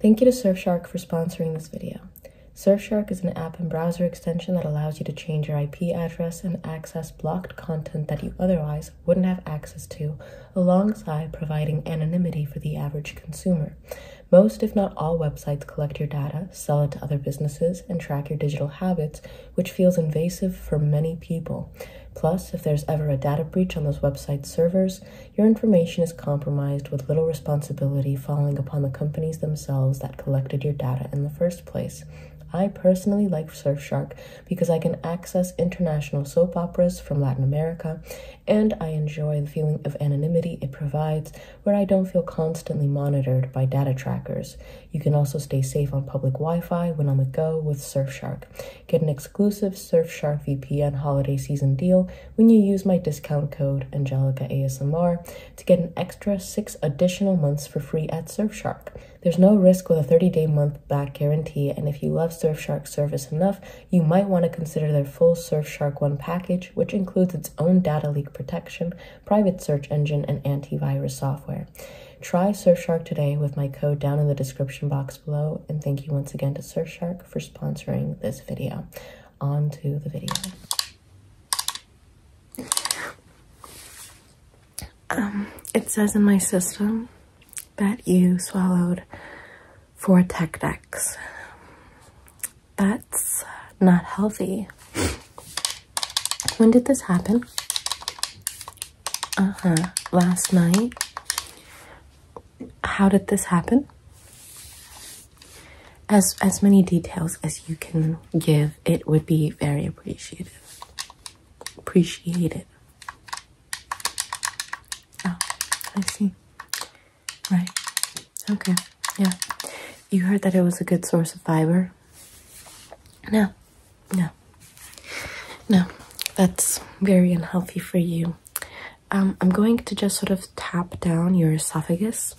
Thank you to Surfshark for sponsoring this video. Surfshark is an app and browser extension that allows you to change your IP address and access blocked content that you otherwise wouldn't have access to, alongside providing anonymity for the average consumer. Most, if not all, websites collect your data, sell it to other businesses, and track your digital habits which feels invasive for many people. Plus, if there's ever a data breach on those website servers, your information is compromised with little responsibility falling upon the companies themselves that collected your data in the first place. I personally like Surfshark because I can access international soap operas from Latin America, and I enjoy the feeling of anonymity it provides where I don't feel constantly monitored by data trackers. You can also stay safe on public Wi Fi when on the go with Surfshark. Get an exclusive Surfshark VPN holiday season deal when you use my discount code AngelicaASMR to get an extra six additional months for free at Surfshark. There's no risk with a 30 day month back guarantee, and if you love Surfshark service enough, you might want to consider their full Surfshark One package, which includes its own data leak protection, private search engine, and antivirus software. Try Surfshark today with my code down in the description box below, and thank you once again to Surfshark for sponsoring this video. On to the video. Um, it says in my system that you swallowed four Tech That's not healthy. When did this happen? Uh huh. Last night. How did this happen? As as many details as you can give, it would be very appreciative. Appreciated. Oh, I see. Right. Okay. Yeah. You heard that it was a good source of fiber. No. No, no, that's very unhealthy for you. Um, I'm going to just sort of tap down your esophagus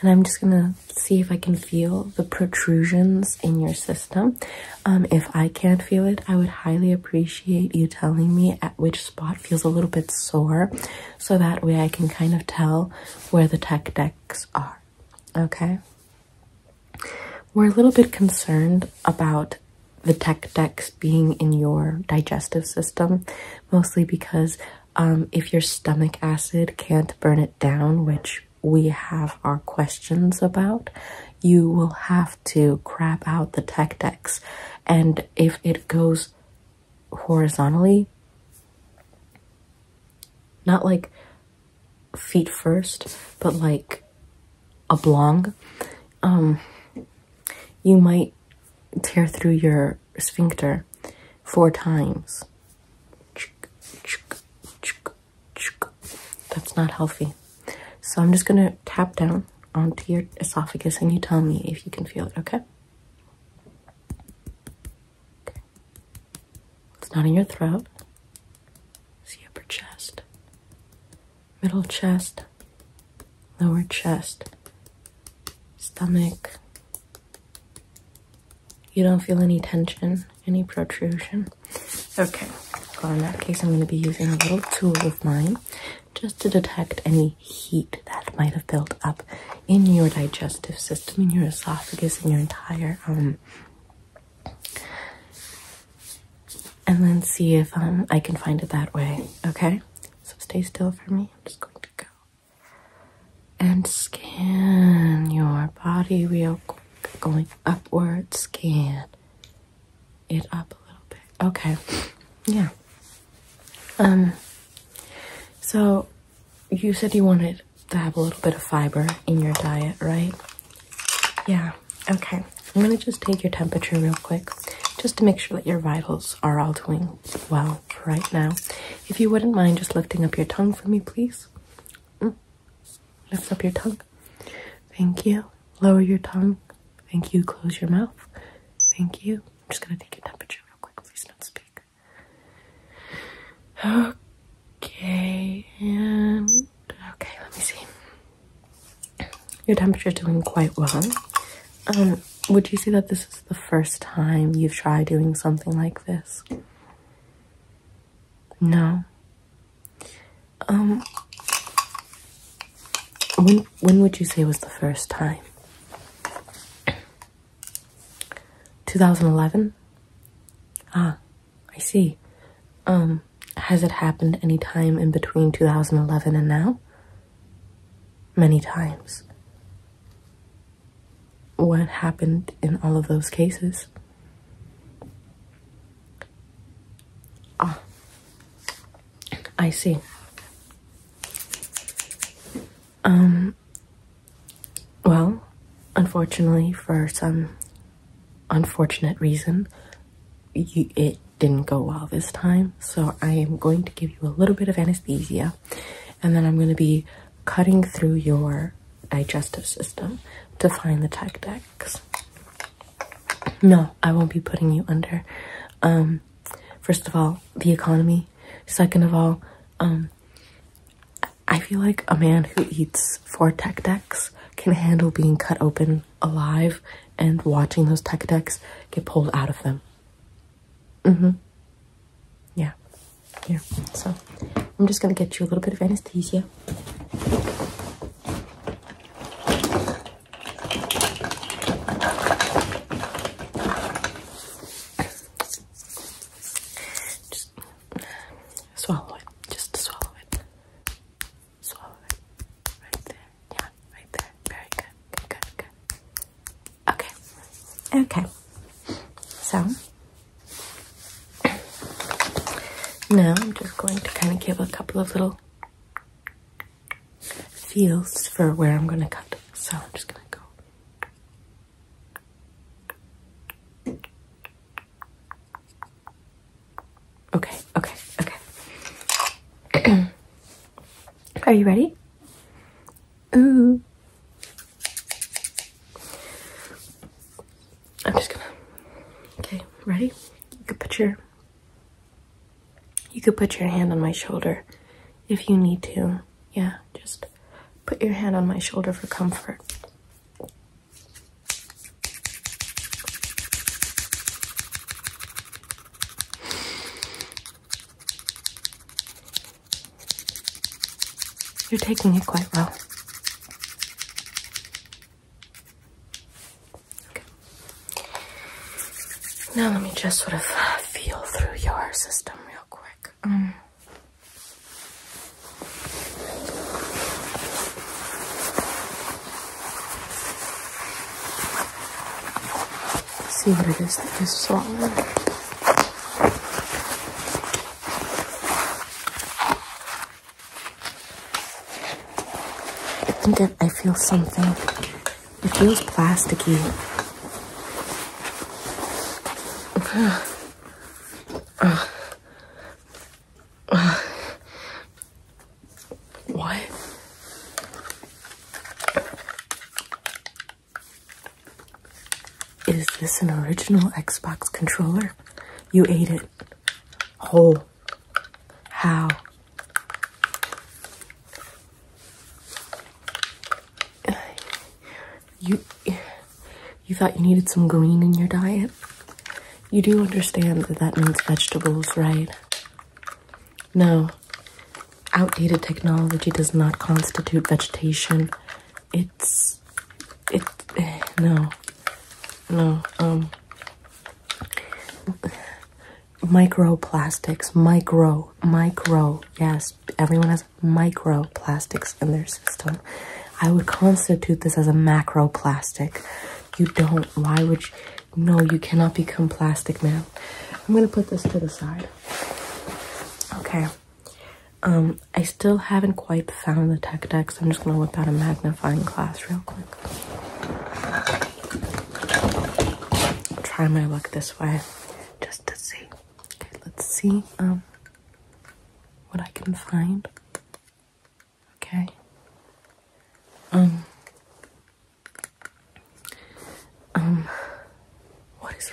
and I'm just gonna see if I can feel the protrusions in your system. Um, if I can't feel it, I would highly appreciate you telling me at which spot feels a little bit sore so that way I can kind of tell where the tech decks are. Okay, we're a little bit concerned about the tech decks being in your digestive system, mostly because um, if your stomach acid can't burn it down, which we have our questions about, you will have to crap out the tech decks. And if it goes horizontally, not like feet first, but like a um, you might tear through your sphincter four times. That's not healthy. So I'm just gonna tap down onto your esophagus and you tell me if you can feel it, okay? It's not in your throat. See upper chest, middle chest, lower chest, stomach. You don't feel any tension, any protrusion. Okay. Well, in that case, I'm going to be using a little tool of mine just to detect any heat that might have built up in your digestive system, in your esophagus, in your entire um, and then see if um, I can find it that way. Okay, so stay still for me. I'm just going to go and scan your body real quick. Going upward, scan it up a little bit. Okay, yeah. Um, so you said you wanted to have a little bit of fiber in your diet, right? Yeah, okay. I'm gonna just take your temperature real quick just to make sure that your vitals are all doing well right now. If you wouldn't mind just lifting up your tongue for me, please. Mm. Lift up your tongue. Thank you. Lower your tongue. Thank you. Close your mouth. Thank you. I'm just gonna take your temperature real quick. Please don't speak. Okay, and okay, let me see. Your temperature's doing quite well. Um, would you say that this is the first time you've tried doing something like this? No. Um when when would you say was the first time? 2011? Ah, I see. Um, has it happened any time in between 2011 and now? Many times. What happened in all of those cases? Ah, I see. Um, well, unfortunately, for some unfortunate reason, it didn't go well this time. So I am going to give you a little bit of anesthesia, and then I'm going to be cutting through your digestive system to find the tactics. No, I won't be putting you under. Um, first of all, the economy. Second of all, um, I feel like a man who eats four tech decks can handle being cut open alive and watching those tech decks get pulled out of them. Mm-hmm. Yeah. Yeah. So I'm just gonna get you a little bit of anesthesia. Swallow it. Just swallow it. Swallow it. Right there. Yeah, right there. Very good. Good, good, Okay. Okay. So now I'm just going to kind of give a couple of little feels for where I'm going to cut. So I'm just going to go. Okay, okay, okay. Are you ready? Ooh. I'm just gonna. Okay, ready? You could put your. You could put your hand on my shoulder if you need to. Yeah, just put your hand on my shoulder for comfort. You're taking it quite well. Okay. Now let me just sort of feel through your system real quick. Um see what it is that is you I think I feel something. It feels plasticky. Uh, what? Is this an original Xbox controller? You ate it whole. How? You you thought you needed some green in your diet? You do understand that that means vegetables, right? No. Outdated technology does not constitute vegetation. It's. It. no. No. Um. Microplastics. Micro. Micro. Yes. Everyone has microplastics in their I would constitute this as a macroplastic. You don't. Why would you? No, you cannot become plastic, man. I'm gonna put this to the side. Okay. Um, I still haven't quite found the tech deck, so I'm just gonna whip out a magnifying glass real quick. try my luck this way, just to see. Okay, let's see um what I can find. Okay. Um. Um. What is?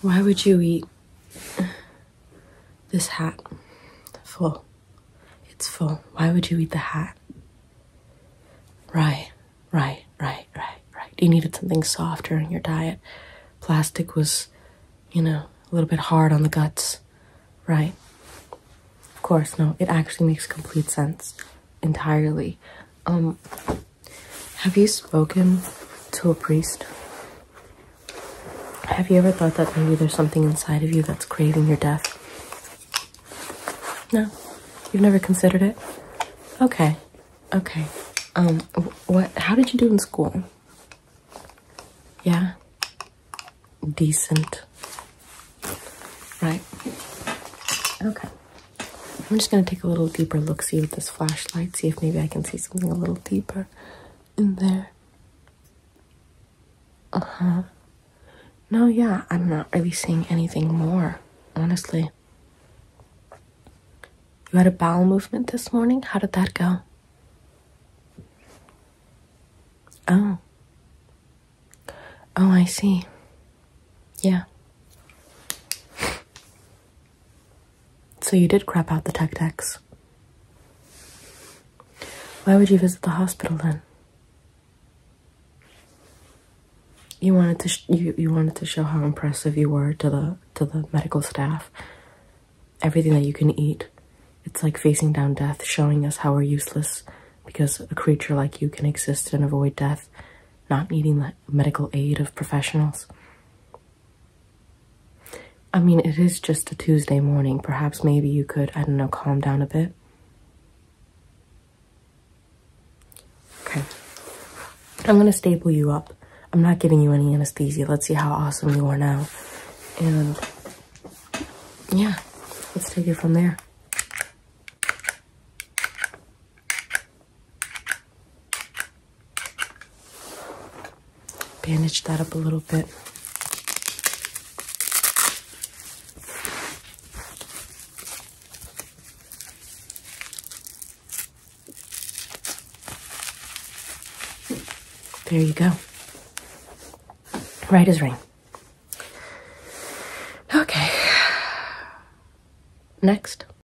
Why would you eat this hat? Full. It's full. Why would you eat the hat? Right, right, right, right, right. You needed something softer in your diet. Plastic was, you know, a little bit hard on the guts. Right. Of course, no, it actually makes complete sense entirely. Um, have you spoken to a priest? Have you ever thought that maybe there's something inside of you that's craving your death? No, you've never considered it. Okay, okay. Um, what? How did you do in school? Yeah, decent. Right. Okay. I'm just going to take a little deeper look see with this flashlight, see if maybe I can see something a little deeper in there. Uh huh. No, yeah, I'm not really seeing anything more, honestly. You had a bowel movement this morning? How did that go? Oh. Oh, I see. Yeah. So you did crap out the Tech Techs. Why would you visit the hospital then? You wanted to you you wanted to show how impressive you were to the to the medical staff. Everything that you can eat. It's like facing down death, showing us how we're useless because a creature like you can exist and avoid death, not needing the medical aid of professionals. I mean, it is just a Tuesday morning. Perhaps maybe you could, I don't know, calm down a bit. Okay. I'm gonna staple you up. I'm not giving you any anesthesia. Let's see how awesome you are now. And yeah, let's take it from there. Bandage that up a little bit. There you go. Right as rain. Okay. Next.